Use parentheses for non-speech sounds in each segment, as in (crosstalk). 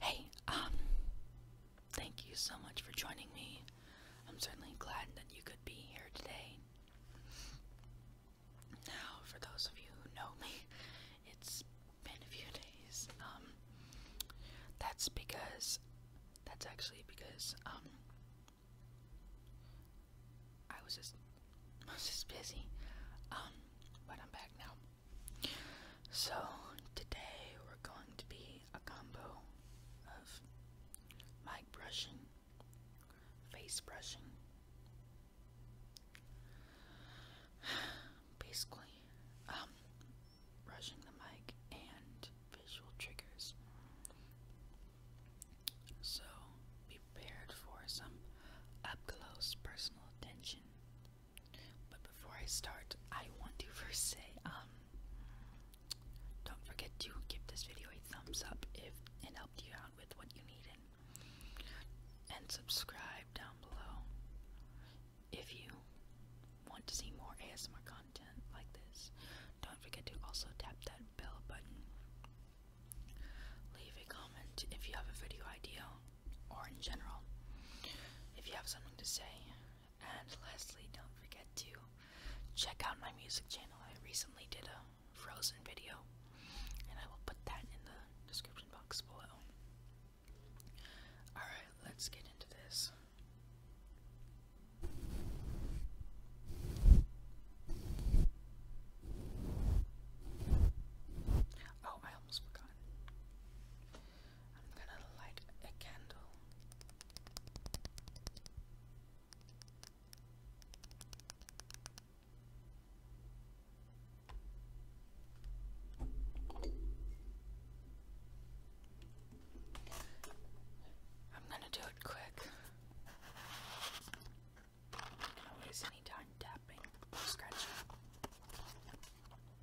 Hey, um, thank you so much for joining me. I'm certainly glad that you could be here today. Now, for those of you who know me, it's been a few days. Um, that's because, that's actually because, um, I was just, (laughs) was just busy. Um, but I'm back now. So, today we're going to be a combo of mic brushing, face brushing. Basically, um, brushing the mic and visual triggers. So, be prepared for some up close personal attention but before I start, I want to first say, um, don't forget to give this video a thumbs up if it helped you out with what you needed. And subscribe down below if you want to see more ASMR content like this. Don't forget to also tap that bell button. Leave a comment if you have a video idea or in general if you have something to say. And lastly, don't forget to check out my music channel. I recently did a Frozen video, and I will put that in the description box below. Alright, let's get into this. Oh, I almost forgot. I'm gonna light a candle. I'm gonna do it quick. i not waste any time tapping or scratching.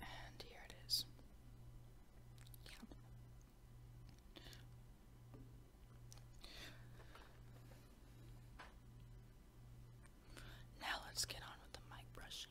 And here it is. Now let's get on with the mic brushing.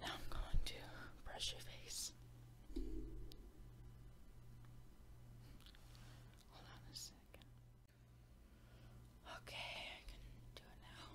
Now I'm going to brush your face. Hold on a second. Okay, I can do it now.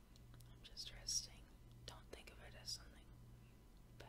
I'm just resting. Don't think of it as something bad.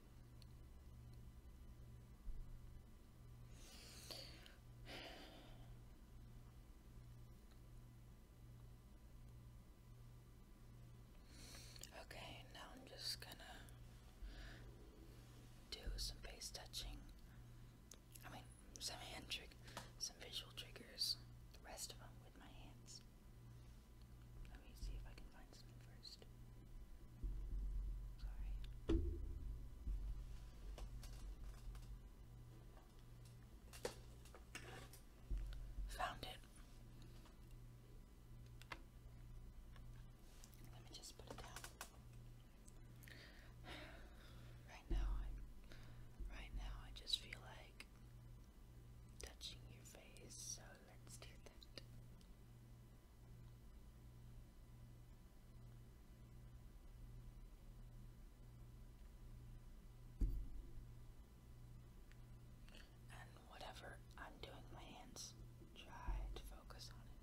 Okay, now I'm just gonna do some face touching. I mean, some hand trick, some visual triggers, the rest of them with my hands. Let me see if I can find something first. Sorry. Found it. Let me just put it down. (sighs) Right now, right now I just feel like touching your face, so let's do that. And whatever I'm doing my hands, try to focus on it.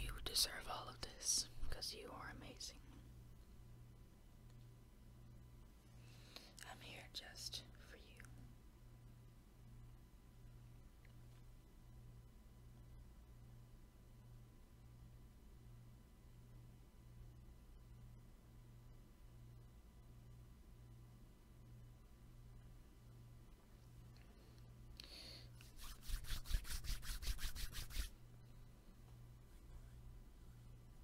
You deserve all of this because you are amazing. I'm here just for you.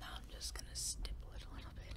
Now I'm just going to stipple it a little bit.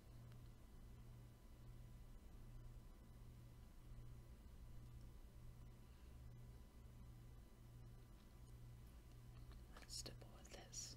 Let's stipple with this.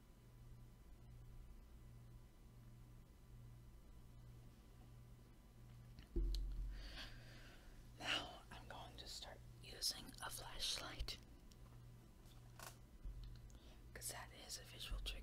Now I'm going to start using a flashlight because that is a visual trigger.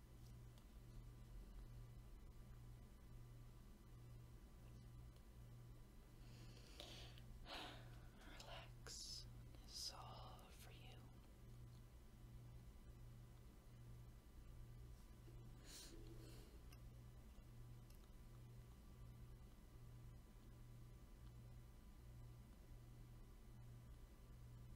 Relax. This is all for you.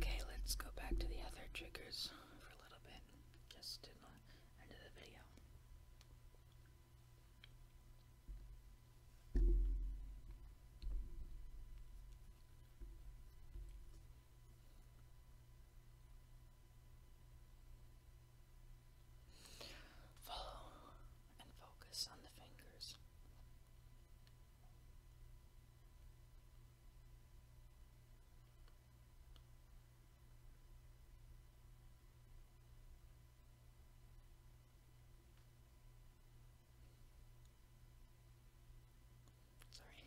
Okay, let's go back to the other triggers for a little bit, just to the end the video. Follow and focus on the fingers. Sorry.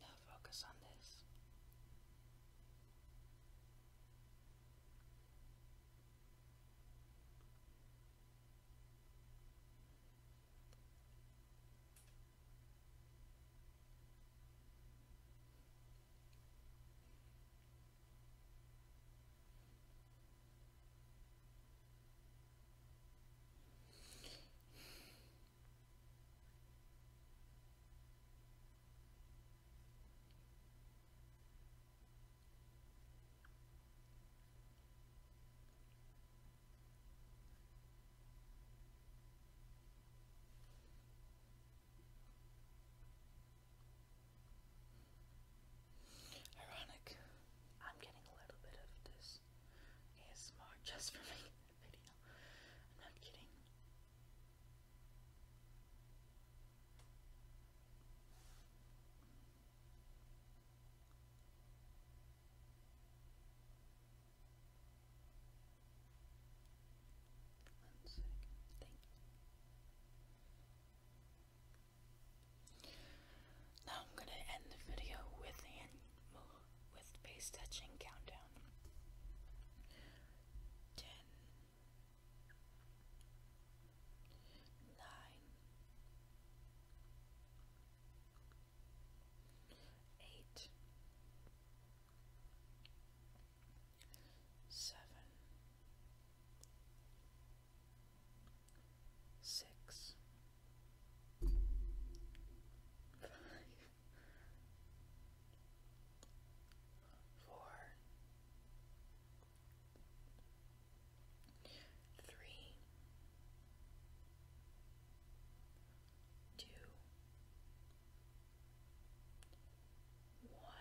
Now focus on this. Ironic. I'm getting a little bit of this videos. more just for me. (laughs) video. I'm not kidding. One second, thank now I'm gonna end the video with hand with face touching countdown. Ten, nine, eight, seven, six five, four, three, two, one. Bye.